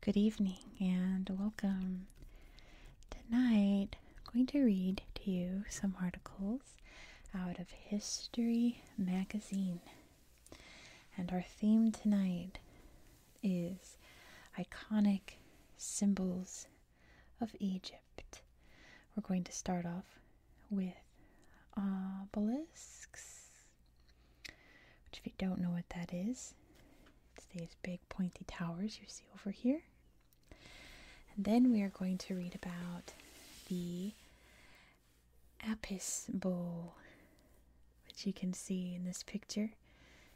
Good evening and welcome. Tonight, I'm going to read to you some articles out of History Magazine. And our theme tonight is iconic symbols of Egypt. We're going to start off with obelisks, which, if you don't know what that is, these big pointy towers you see over here. And then we are going to read about the Apis bull, which you can see in this picture,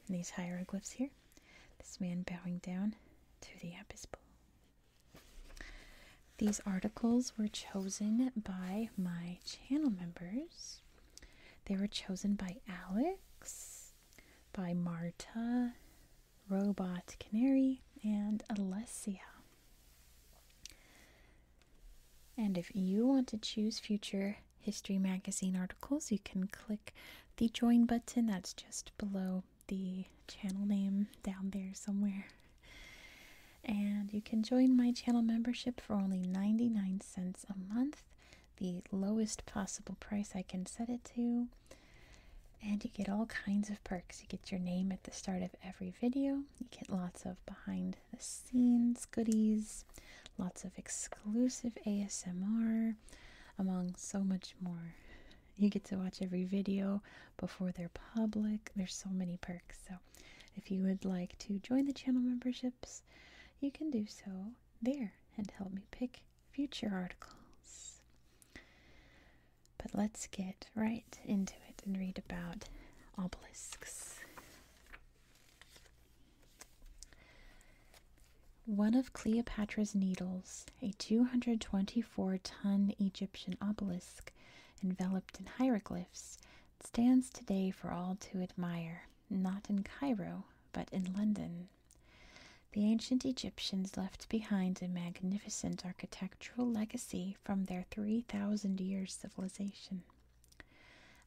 in these hieroglyphs here. This man bowing down to the Apis bull. These articles were chosen by my channel members. They were chosen by Alex, by Marta, Robot Canary, and Alessia. And if you want to choose future History Magazine articles, you can click the join button that's just below the channel name down there somewhere. And you can join my channel membership for only 99 cents a month, the lowest possible price I can set it to. And you get all kinds of perks. You get your name at the start of every video, you get lots of behind the scenes goodies, lots of exclusive ASMR, among so much more. You get to watch every video before they're public. There's so many perks. So, if you would like to join the channel memberships, you can do so there and help me pick future articles. But let's get right into it and read about obelisks. One of Cleopatra's Needles, a 224 ton Egyptian obelisk enveloped in hieroglyphs, stands today for all to admire, not in Cairo, but in London. The ancient Egyptians left behind a magnificent architectural legacy from their 3,000 years' civilization.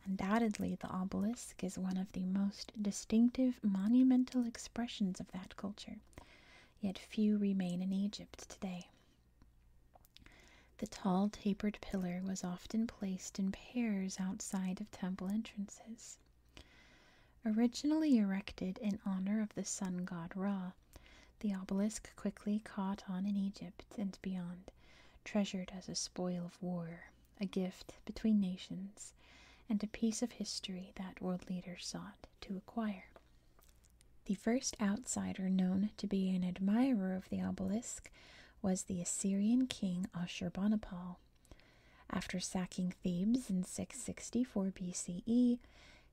Undoubtedly, the obelisk is one of the most distinctive monumental expressions of that culture, yet few remain in Egypt today. The tall, tapered pillar was often placed in pairs outside of temple entrances. Originally erected in honor of the sun god Ra, the obelisk quickly caught on in Egypt and beyond treasured as a spoil of war, a gift between nations, and a piece of history that world leaders sought to acquire. The first outsider known to be an admirer of the obelisk was the Assyrian king Ashurbanipal. After sacking Thebes in 664 BCE,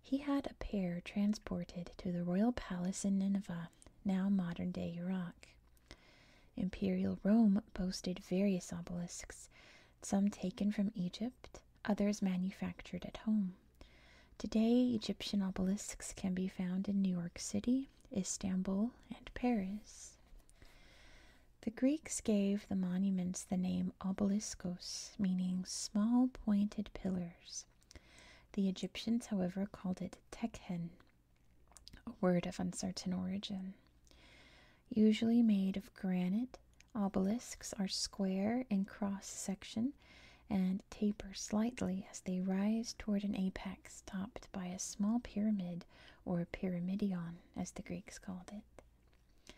he had a pair transported to the royal palace in Nineveh now modern day Iraq. Imperial Rome boasted various obelisks, some taken from Egypt, others manufactured at home. Today, Egyptian obelisks can be found in New York City, Istanbul, and Paris. The Greeks gave the monuments the name obeliskos, meaning small pointed pillars. The Egyptians, however, called it tekhen, a word of uncertain origin. Usually made of granite, obelisks are square in cross section and taper slightly as they rise toward an apex topped by a small pyramid or pyramidion, as the Greeks called it.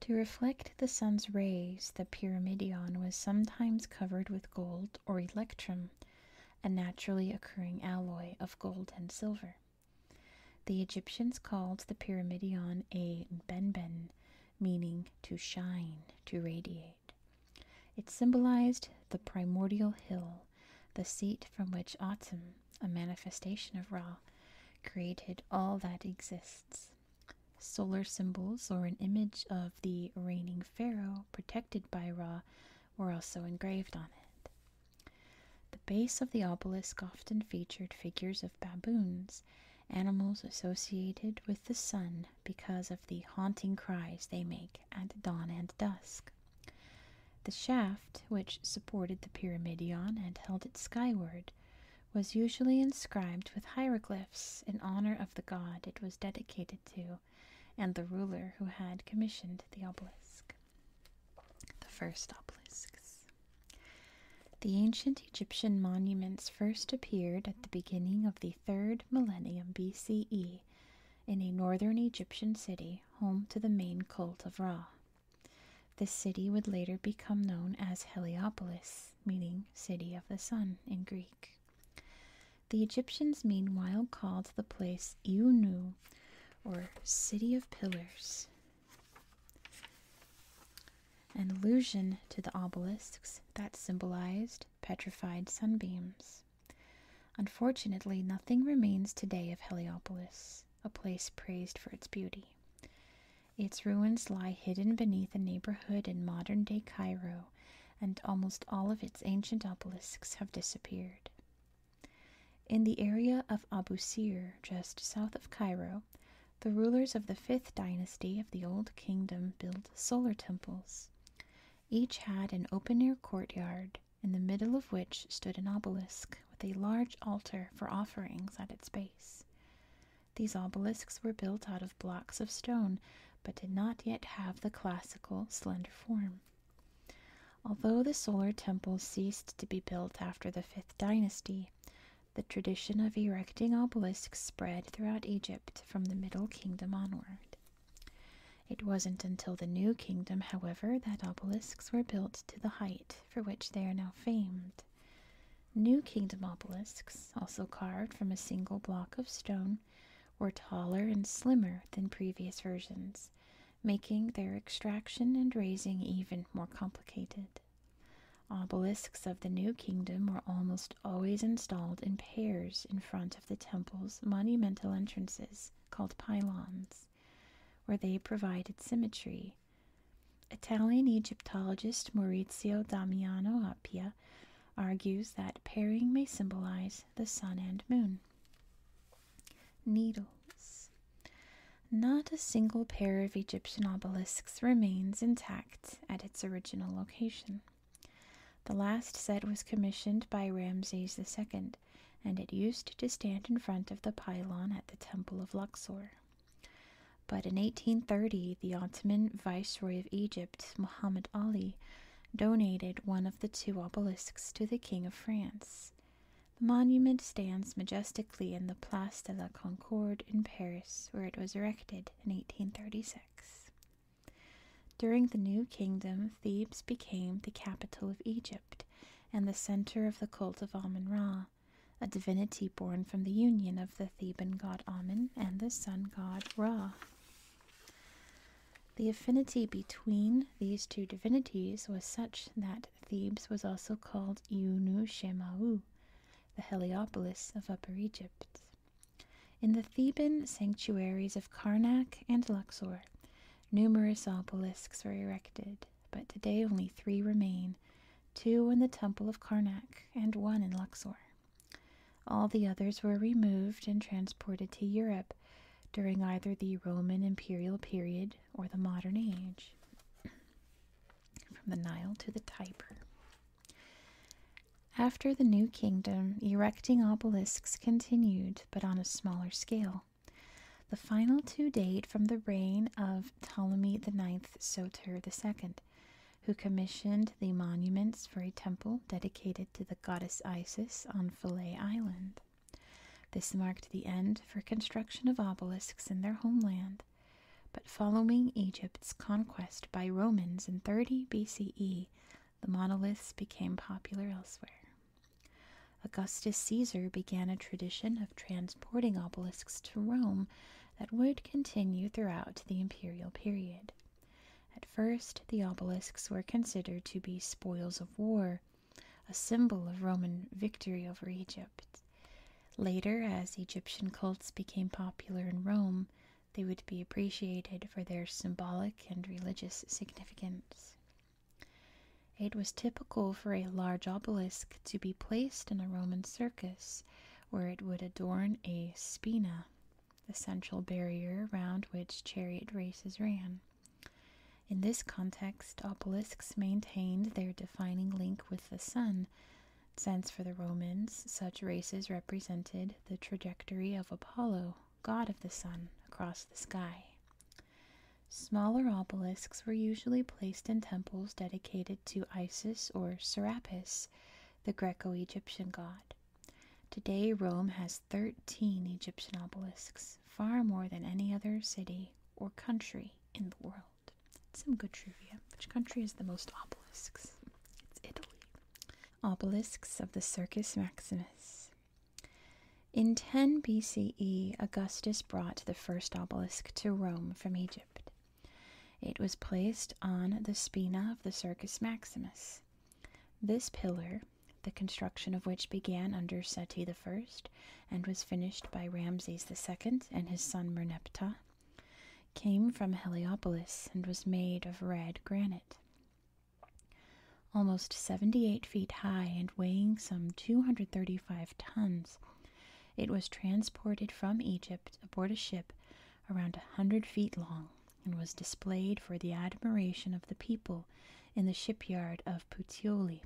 To reflect the sun's rays, the pyramidion was sometimes covered with gold or electrum, a naturally occurring alloy of gold and silver. The Egyptians called the pyramidion a benben, meaning to shine, to radiate. It symbolized the primordial hill, the seat from which Autumn, a manifestation of Ra, created all that exists. Solar symbols or an image of the reigning Pharaoh, protected by Ra, were also engraved on it. The base of the obelisk often featured figures of baboons, animals associated with the sun because of the haunting cries they make at dawn and dusk. The shaft, which supported the pyramidion and held it skyward, was usually inscribed with hieroglyphs in honor of the god it was dedicated to and the ruler who had commissioned the obelisk. The first obelisks. The ancient Egyptian monuments first appeared at the beginning of the third millennium BCE in a northern Egyptian city home to the main cult of Ra. This city would later become known as Heliopolis, meaning City of the Sun in Greek. The Egyptians, meanwhile, called the place Iunu, or City of Pillars. An allusion to the obelisks that symbolized petrified sunbeams. Unfortunately, nothing remains today of Heliopolis, a place praised for its beauty. Its ruins lie hidden beneath a neighborhood in modern day Cairo and almost all of its ancient obelisks have disappeared. In the area of Abusir, just south of Cairo, the rulers of the fifth dynasty of the Old Kingdom built solar temples. Each had an open air courtyard, in the middle of which stood an obelisk with a large altar for offerings at its base. These obelisks were built out of blocks of stone but did not yet have the classical slender form. Although the solar temples ceased to be built after the fifth dynasty, the tradition of erecting obelisks spread throughout Egypt from the Middle Kingdom onward. It wasn't until the New Kingdom, however, that obelisks were built to the height for which they are now famed. New Kingdom obelisks, also carved from a single block of stone, were taller and slimmer than previous versions, making their extraction and raising even more complicated. Obelisks of the New Kingdom were almost always installed in pairs in front of the temple's monumental entrances, called pylons, where they provided symmetry. Italian Egyptologist Maurizio Damiano Appia argues that pairing may symbolize the sun and moon. Needles. Not a single pair of Egyptian obelisks remains intact at its original location. The last set was commissioned by Ramses II, and it used to stand in front of the pylon at the Temple of Luxor. But in 1830, the Ottoman Viceroy of Egypt, Muhammad Ali, donated one of the two obelisks to the King of France. The monument stands majestically in the Place de la Concorde in Paris, where it was erected in 1836. During the New Kingdom, Thebes became the capital of Egypt and the center of the cult of Amun Ra, a divinity born from the union of the Theban god Amun and the sun god Ra. The affinity between these two divinities was such that Thebes was also called Iunu Shemau, the Heliopolis of Upper Egypt. In the Theban sanctuaries of Karnak and Luxor, numerous obelisks were erected, but today only three remain two in the temple of Karnak and one in Luxor. All the others were removed and transported to Europe during either the Roman imperial period or the modern age, from the Nile to the Tiber. After the New Kingdom, erecting obelisks continued, but on a smaller scale. The final two date from the reign of Ptolemy IX Soter II, who commissioned the monuments for a temple dedicated to the goddess Isis on Philae Island. This marked the end for construction of obelisks in their homeland, but following Egypt's conquest by Romans in 30 BCE, the monoliths became popular elsewhere. Augustus Caesar began a tradition of transporting obelisks to Rome that would continue throughout the imperial period. At first, the obelisks were considered to be spoils of war, a symbol of Roman victory over Egypt. Later, as Egyptian cults became popular in Rome, they would be appreciated for their symbolic and religious significance. It was typical for a large obelisk to be placed in a Roman circus, where it would adorn a spina, the central barrier round which chariot races ran. In this context, obelisks maintained their defining link with the sun, since for the Romans, such races represented the trajectory of Apollo, god of the sun, across the sky. Smaller obelisks were usually placed in temples dedicated to Isis or Serapis, the Greco Egyptian god. Today, Rome has 13 Egyptian obelisks, far more than any other city or country in the world. Some good trivia. Which country has the most obelisks? It's Italy. Obelisks of the Circus Maximus. In 10 BCE, Augustus brought the first obelisk to Rome from Egypt. It was placed on the spina of the Circus Maximus. This pillar, the construction of which began under Seti I and was finished by Ramses II and his son Merneptah, came from Heliopolis and was made of red granite. Almost 78 feet high and weighing some 235 tons, it was transported from Egypt aboard a ship around a 100 feet long and was displayed for the admiration of the people in the shipyard of Puteoli,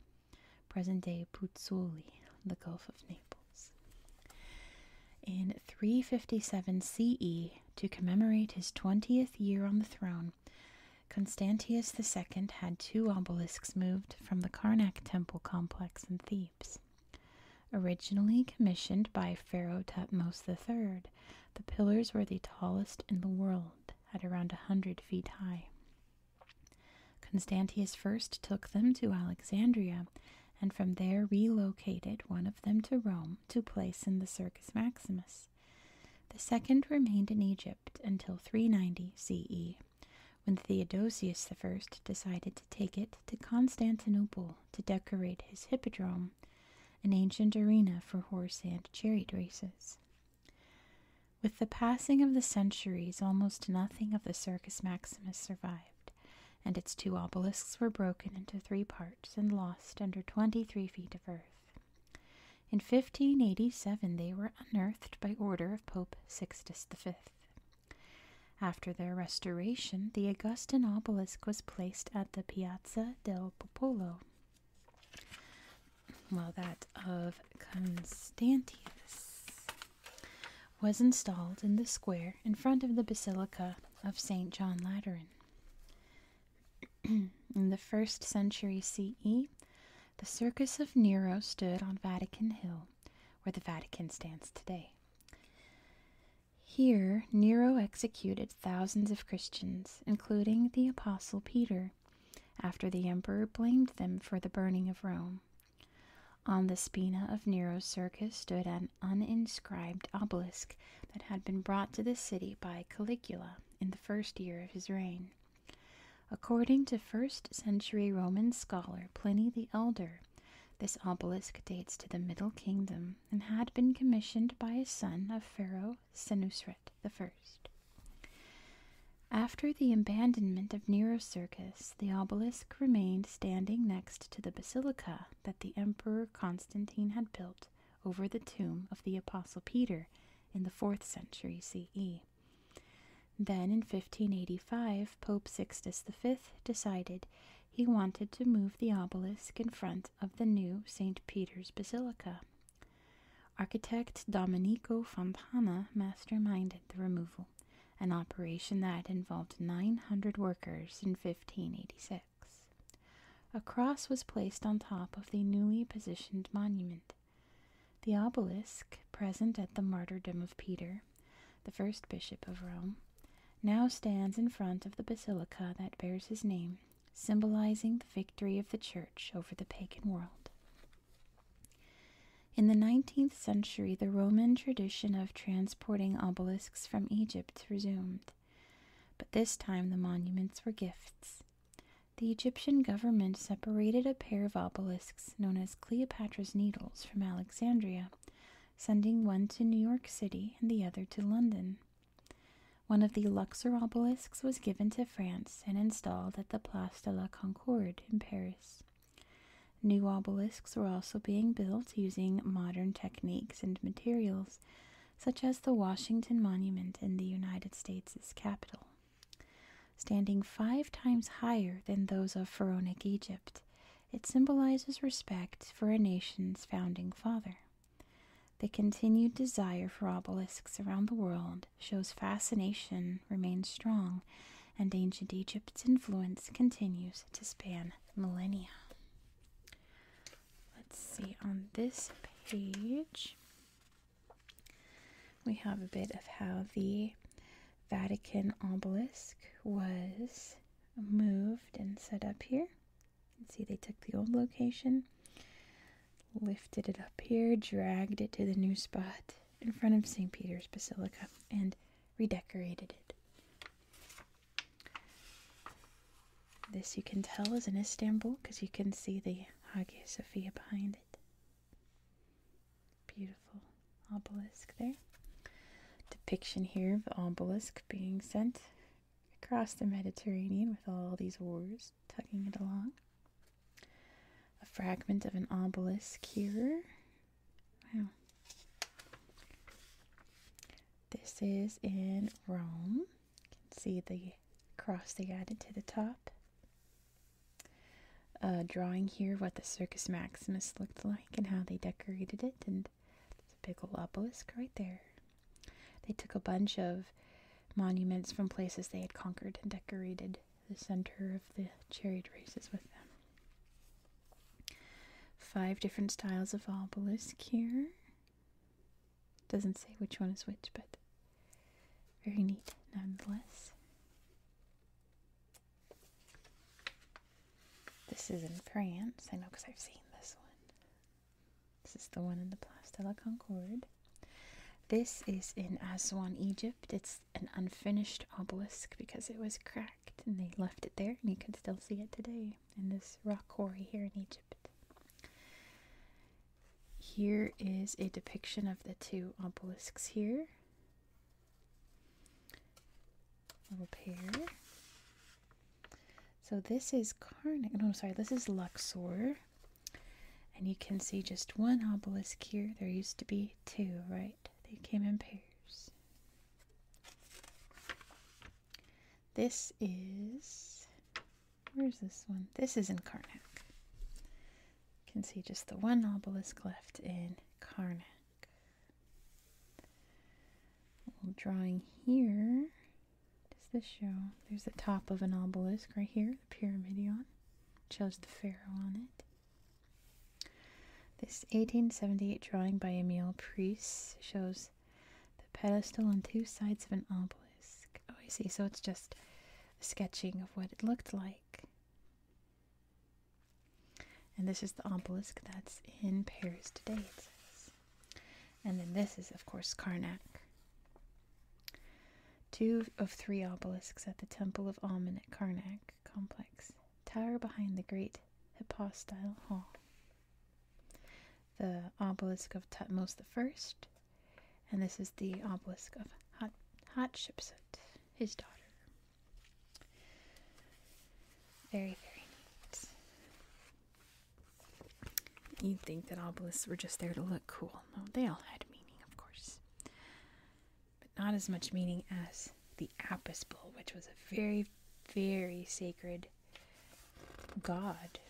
present day Puzzoli, the Gulf of Naples. In 357 CE, to commemorate his 20th year on the throne, Constantius II had two obelisks moved from the Karnak temple complex in Thebes. Originally commissioned by Pharaoh Tutmos III, the pillars were the tallest in the world, at around a hundred feet high. Constantius first took them to Alexandria, and from there relocated one of them to Rome to place in the Circus Maximus. The second remained in Egypt until 390 CE, when Theodosius I decided to take it to Constantinople to decorate his hippodrome an ancient arena for horse and chariot races. With the passing of the centuries, almost nothing of the Circus Maximus survived, and its two obelisks were broken into three parts and lost under twenty three feet of earth. In 1587, they were unearthed by order of Pope Sixtus V. After their restoration, the Augustan obelisk was placed at the Piazza del Popolo while that of Constantius was installed in the square in front of the Basilica of St. John Lateran. in the first century CE, the Circus of Nero stood on Vatican Hill, where the Vatican stands today. Here Nero executed thousands of Christians, including the Apostle Peter, after the emperor blamed them for the burning of Rome. On the spina of Nero's circus stood an uninscribed obelisk that had been brought to the city by Caligula in the first year of his reign. According to first century Roman scholar Pliny the Elder, this obelisk dates to the Middle Kingdom and had been commissioned by a son of Pharaoh Senusret First. After the abandonment of Nero's circus, the obelisk remained standing next to the basilica that the Emperor Constantine had built over the tomb of the Apostle Peter in the 4th century CE. Then in 1585, Pope Sixtus V decided he wanted to move the obelisk in front of the new St. Peter's Basilica. Architect Domenico Fontana masterminded the removal, an operation that involved 900 workers in 1586. A cross was placed on top of the newly positioned monument. The obelisk, present at the martyrdom of Peter, the first bishop of Rome, now stands in front of the basilica that bears his name symbolizing the victory of the church over the pagan world. In the 19th century, the Roman tradition of transporting obelisks from Egypt resumed, but this time the monuments were gifts. The Egyptian government separated a pair of obelisks known as Cleopatra's Needles from Alexandria, sending one to New York City and the other to London. One of the Luxor obelisks was given to France and installed at the Place de la Concorde in Paris. New obelisks were also being built using modern techniques and materials, such as the Washington Monument in the United States' capital. Standing five times higher than those of Pharaonic Egypt, it symbolizes respect for a nation's founding father. The continued desire for obelisks around the world shows fascination remains strong, and ancient Egypt's influence continues to span millennia. Let's see, on this page, we have a bit of how the Vatican obelisk was moved and set up here. See, they took the old location, lifted it up here, dragged it to the new spot in front of St. Peter's Basilica, and redecorated it. This you can tell is in Istanbul because you can see the Hagia Sophia behind it. Beautiful obelisk there. Depiction here of the obelisk being sent across the Mediterranean with all these wars tugging it along. A fragment of an obelisk here. Wow. This is in Rome. You can see the cross they added to the top. A drawing here of what the Circus Maximus looked like and how they decorated it, and the big old obelisk right there. They took a bunch of monuments from places they had conquered and decorated the center of the chariot races with them. Five different styles of obelisk here. Doesn't say which one is which, but very neat nonetheless. This is in France. I know because I've seen this one. This is the one in the Place de la Concorde. This is in Aswan, Egypt. It's an unfinished obelisk because it was cracked and they left it there, and you can still see it today in this rock quarry here in Egypt. Here is a depiction of the two obelisks here. Little pair. So this is Karnak. No, sorry, this is Luxor. And you can see just one obelisk here. There used to be two, right? They came in pairs. This is. Where's this one? This is in Karnak. You can see just the one obelisk left in Karnak. drawing here does this show? There's the top of an obelisk right here, the Pyramidion. shows the pharaoh on it. This 1878 drawing by Emile Priest shows the pedestal on two sides of an obelisk. Oh, I see. So it's just sketching of what it looked like. And this is the obelisk that's in Paris today, and then this is, of course, Karnak. Two of three obelisks at the Temple of Amen at Karnak complex tower behind the great Hypostyle Hall. The obelisk of Tutmos I, and this is the obelisk of Hat Hatshepsut, his daughter. Very, very neat. You'd think that obelisks were just there to look cool. No, they all had meaning, of course. But not as much meaning as the Apis bull, which was a very, very sacred god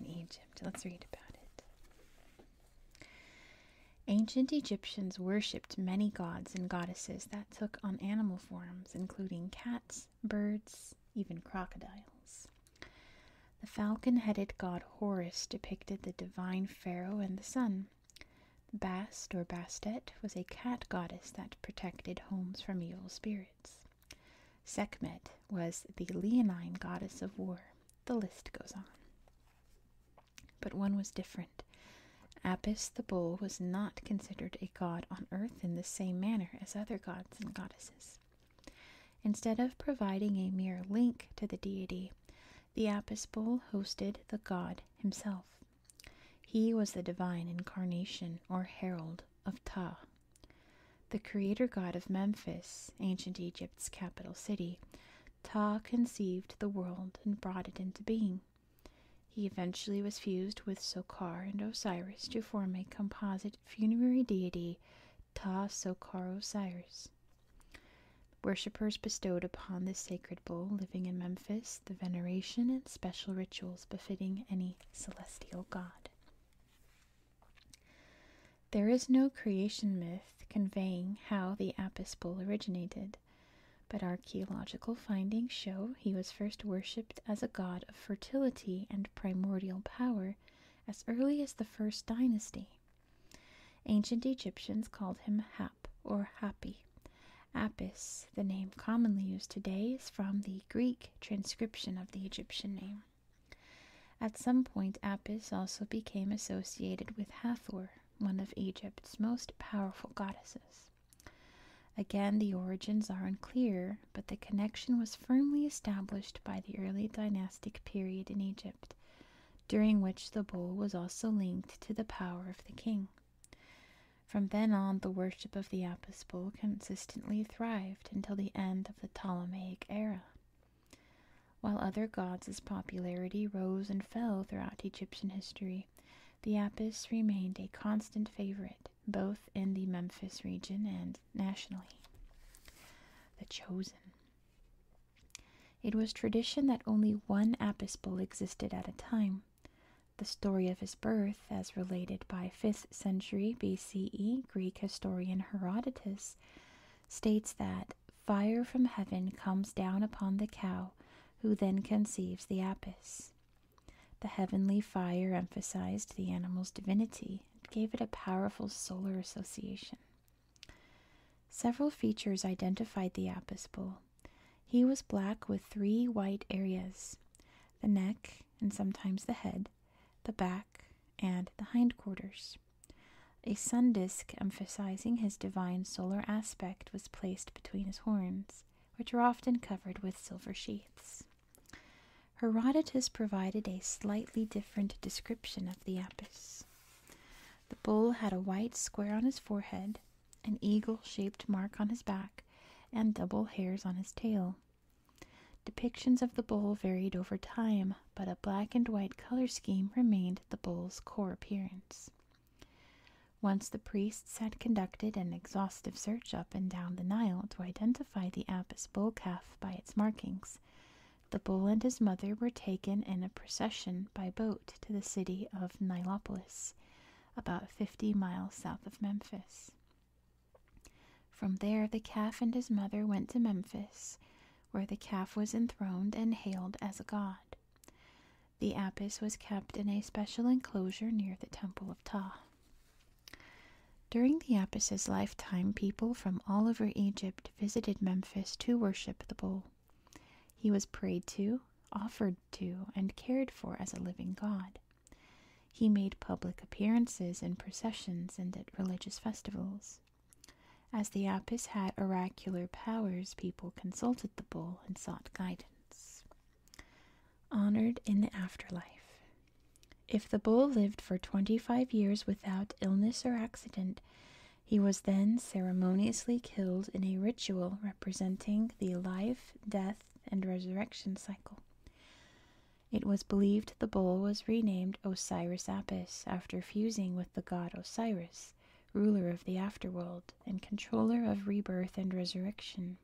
in Egypt. Let's read about it. Ancient Egyptians worshipped many gods and goddesses that took on animal forms, including cats, birds, even crocodiles. The falcon headed god Horus depicted the divine pharaoh and the sun. Bast or Bastet was a cat goddess that protected homes from evil spirits. Sekhmet was the leonine goddess of war. The list goes on. But one was different. Apis the bull was not considered a god on earth in the same manner as other gods and goddesses. Instead of providing a mere link to the deity, the Apis bull hosted the god himself. He was the divine incarnation or herald of Ptah. The creator god of Memphis, ancient Egypt's capital city, Ptah conceived the world and brought it into being. He eventually was fused with Sokar and Osiris to form a composite funerary deity Ta Sokar Osiris. Worshippers bestowed upon this sacred bull living in Memphis the veneration and special rituals befitting any celestial god. There is no creation myth conveying how the Apis bull originated, but archaeological findings show he was first worshipped as a god fertility and primordial power as early as the first dynasty. Ancient Egyptians called him Hap or Hapi. Apis, the name commonly used today, is from the Greek transcription of the Egyptian name. At some point, Apis also became associated with Hathor, one of Egypt's most powerful goddesses. Again, the origins are unclear but the connection was firmly established by the early dynastic period in Egypt, during which the bull was also linked to the power of the king. From then on, the worship of the Apis bull consistently thrived until the end of the Ptolemaic era. While other gods' popularity rose and fell throughout Egyptian history, the Apis remained a constant favorite, both in the Memphis region and nationally. The Chosen. It was tradition that only one apis bull existed at a time. The story of his birth, as related by 5th century BCE Greek historian Herodotus, states that fire from heaven comes down upon the cow, who then conceives the apis. The heavenly fire emphasized the animal's divinity, gave it a powerful solar association. Several features identified the Apis bull. He was black with three white areas the neck, and sometimes the head, the back, and the hindquarters. A sun disk emphasizing his divine solar aspect was placed between his horns, which are often covered with silver sheaths. Herodotus provided a slightly different description of the Apis. The bull had a white square on his forehead, an eagle shaped mark on his back, and double hairs on his tail. Depictions of the bull varied over time, but a black and white color scheme remained the bull's core appearance. Once the priests had conducted an exhaustive search up and down the Nile to identify identify the Apis bull calf by its markings. The bull and his mother were taken in a procession by boat to the city of Nilopolis, about fifty miles south of Memphis. From there, the calf and his mother went to Memphis, where the calf was enthroned and hailed as a god. The Apis was kept in a special enclosure near the Temple of Ptah. During the Apis' lifetime, people from all over Egypt visited Memphis to worship the bull. He was prayed to, offered to, and cared for as a living god. He made public appearances in processions and at religious festivals. As the Apis had oracular powers, people consulted the bull and sought guidance honored in the afterlife. If the bull lived for 25 years without illness or accident, he was then ceremoniously killed in a ritual representing the life, death, and resurrection cycle. It was believed the bull was renamed Osiris Apis after fusing with the god Osiris, ruler of the afterworld and controller of rebirth and resurrection.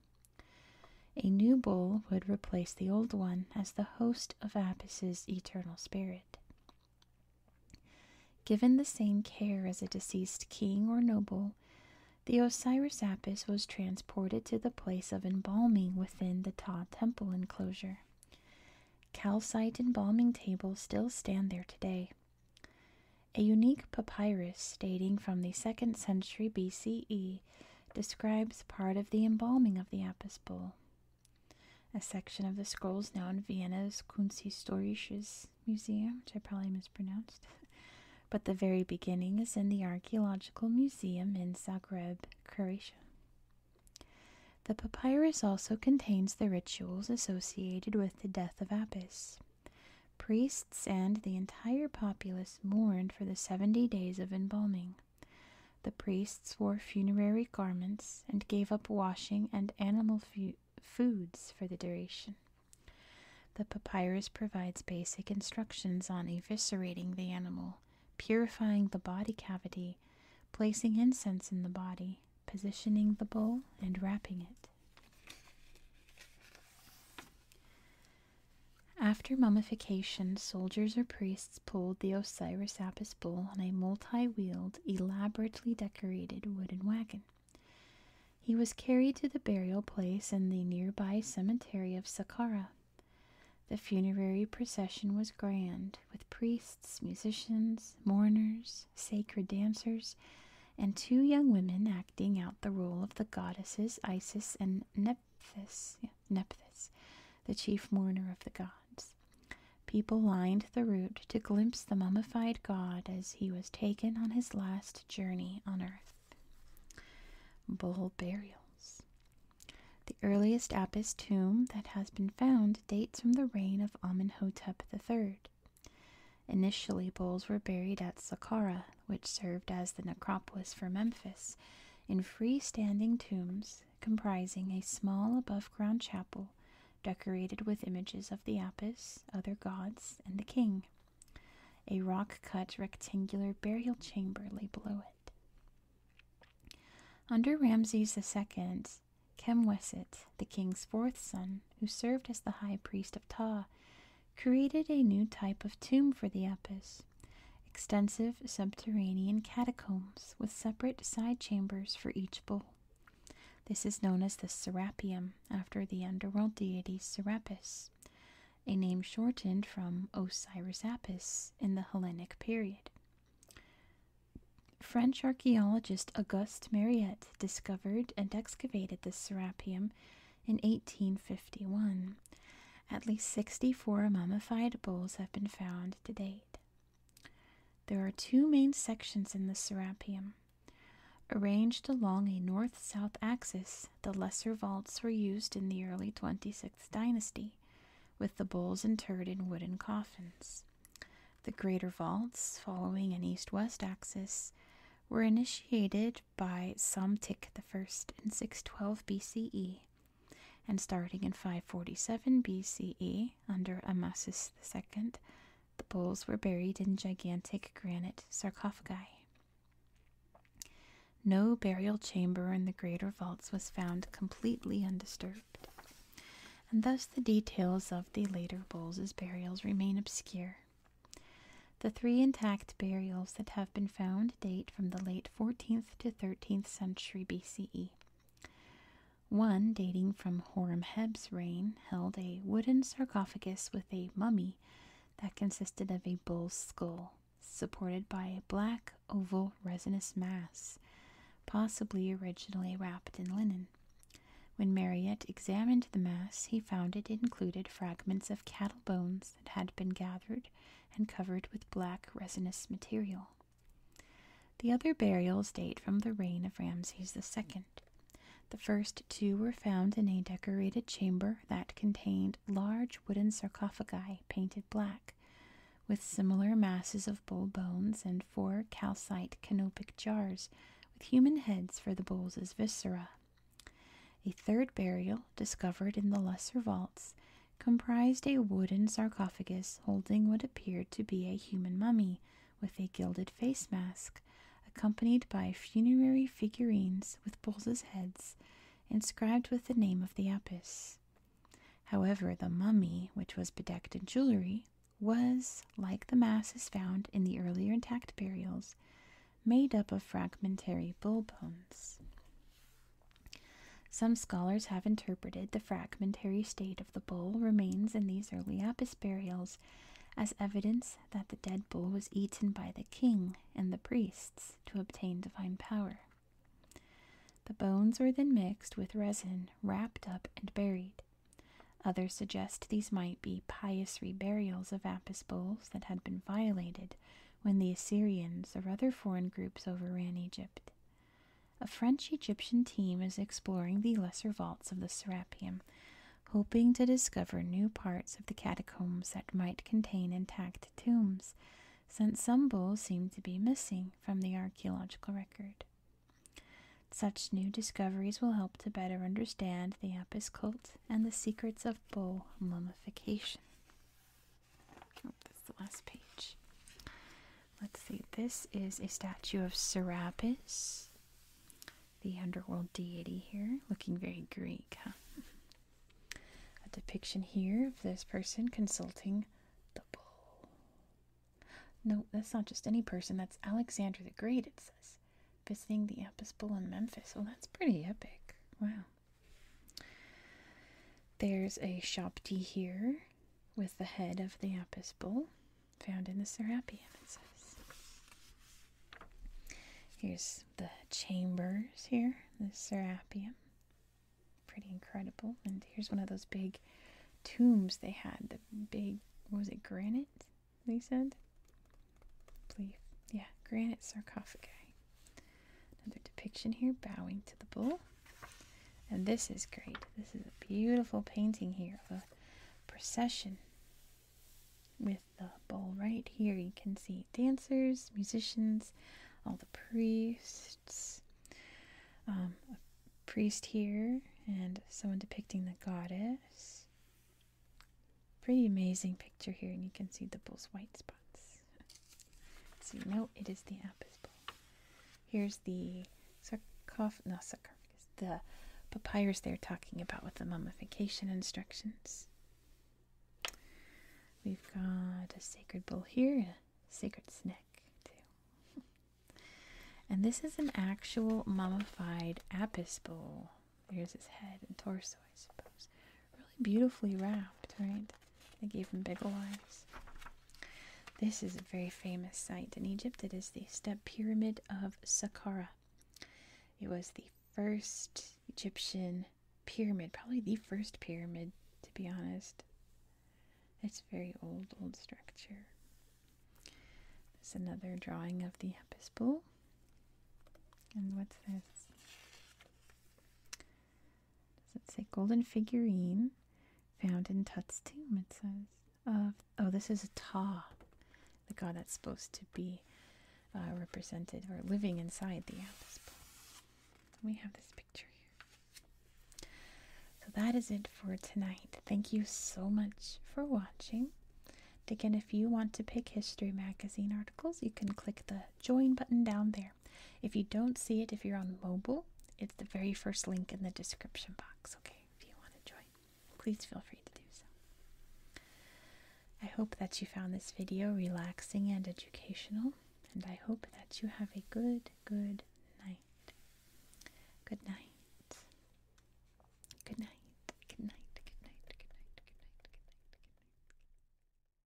A new bowl would replace the old one as the host of Apis's eternal spirit. Given the same care as a deceased king or noble, the Osiris Apis was transported to the place of embalming within the Ta temple enclosure. Calcite embalming tables still stand there today. A unique papyrus dating from the 2nd century BCE describes part of the embalming of the Apis bull. A section of the scrolls now in Vienna's Kunsthistorisches Museum, which I probably mispronounced, but the very beginning is in the Archaeological Museum in Zagreb, Croatia. The papyrus also contains the rituals associated with the death of Apis. Priests and the entire populace mourned for the 70 days of embalming. The priests wore funerary garments and gave up washing and animal foods for the duration. The papyrus provides basic instructions on eviscerating the animal, purifying the body cavity, placing incense in the body, positioning the bowl, and wrapping it. After mummification, soldiers or priests pulled the Osiris Apis bull on a multi wheeled, elaborately decorated wooden wagon. He was carried to the burial place in the nearby cemetery of Saqqara. The funerary procession was grand, with priests, musicians, mourners, sacred dancers, and two young women acting out the role of the goddesses Isis and Neb. Nephthys, Nephthys, the chief mourner of the gods. People lined the route to glimpse the mummified god as he was taken on his last journey on earth. Bull burials. The earliest Apis tomb that has been found dates from the reign of Amenhotep III. Initially, bulls were buried at Saqqara, which served as the necropolis for Memphis, in freestanding tombs comprising a small above ground chapel decorated with images of the Apis, other gods, and the king. A rock cut rectangular burial chamber lay below it. Under Ramses II, Chemweset, the king's fourth son, who served as the high priest of Ptah, created a new type of tomb for the Apis, extensive subterranean catacombs with separate side chambers for each bull. This is known as the Serapeum, after the underworld deity Serapis, a name shortened from Osiris Apis in the Hellenic period. French archaeologist Auguste Mariette discovered and excavated the Serapeum in 1851 at least 64 mummified bowls have been found to date. There are two main sections in the Serapeum. Arranged along a north south axis, the lesser vaults were used in the early 26th dynasty, with the bowls interred in wooden coffins. The greater vaults, following an east west axis, were initiated by Psamtik I in 612 BCE and starting in 547 BCE, under Amasis II, the bulls were buried in gigantic granite sarcophagi. No burial chamber in the greater vaults was found completely undisturbed, and thus the details of the later bulls' burials remain obscure. The three intact burials that have been found date from the late 14th to 13th century BCE. One, dating from Horemheb's reign, held a wooden sarcophagus with a mummy that consisted of a bull's skull, supported by a black, oval, resinous mass, possibly originally wrapped in linen. When Marriott examined the mass, he found it included fragments of cattle bones that had been gathered and covered with black resinous material. The other burials date from the reign of Ramses Second. The first two were found in a decorated chamber that contained large wooden sarcophagi painted black, with similar masses of bull bones and four calcite canopic jars with human heads for the bulls viscera. A third burial discovered in the lesser vaults, comprised a wooden sarcophagus holding what appeared to be a human mummy with a gilded face mask, accompanied by funerary figurines with bulls' heads inscribed with the name of the apis. However, the mummy, which was bedecked in jewelry, was, like the masses found in the earlier intact burials, made up of fragmentary bull bones. Some scholars have interpreted the fragmentary state of the bull remains in these early Apis burials as evidence that the dead bull was eaten by the king and the priests to obtain divine power. The bones were then mixed with resin, wrapped up, and buried. Others suggest these might be pious reburials of Apis bulls that had been violated when the Assyrians or other foreign groups overran Egypt. A French Egyptian team is exploring the lesser vaults of the Serapeum, hoping to discover new parts of the catacombs that might contain intact tombs, since some bowls seem to be missing from the archaeological record. Such new discoveries will help to better understand the Apis cult and the secrets of bowl mummification. Oh, that's the last page. Let's see. This is a statue of Serapis, the underworld deity here, looking very Greek. A depiction here of this person consulting the bull. No, that's not just any person. That's Alexander the Great, it says. Visiting the Apis bull in Memphis. Oh, that's pretty epic. Wow. There's a Shopti here with the head of the Apis bull found in the Serapeum, Here's the chambers here, the Serapeum. Pretty incredible. And here's one of those big tombs they had. The big, was it, granite, they said? Yeah, granite sarcophagi. Another depiction here, bowing to the bull. And this is great. This is a beautiful painting here of a procession with the bull right here. You can see dancers, musicians, all the priests, um, a priest here, and someone depicting the goddess. Pretty amazing picture here, and you can see the bull's white spots. See, no, it is the apis bowl. Here's the sarcoph- no, sarcophagus, the papyrus they're talking about with the mummification instructions. We've got a sacred bowl here, a sacred snack too. and this is an actual mummified apis bowl. There's his head and torso, I suppose. Really beautifully wrapped, right? They gave him big eyes. This is a very famous site in Egypt. It is the Step Pyramid of Saqqara. It was the first Egyptian pyramid, probably the first pyramid, to be honest. It's a very old, old structure. There's another drawing of the Apis bull. And what's this? Does it say golden figurine found in Tut's tomb? It says oh, this is a Ta, the god that's supposed to be uh, represented or living inside the Atlas Bull. We have this picture here. So that is it for tonight. Thank you so much for watching. again, if you want to pick history magazine articles, you can click the join button down there. If you don't see it, if you're on mobile, it's the very first link in the description box. Okay, if you want to join, please feel free to do so. I hope that you found this video relaxing and educational, and I hope that you have a good, good night. Good night. Good night. Good night. Good night. Good night. Good night. Good night. Good night.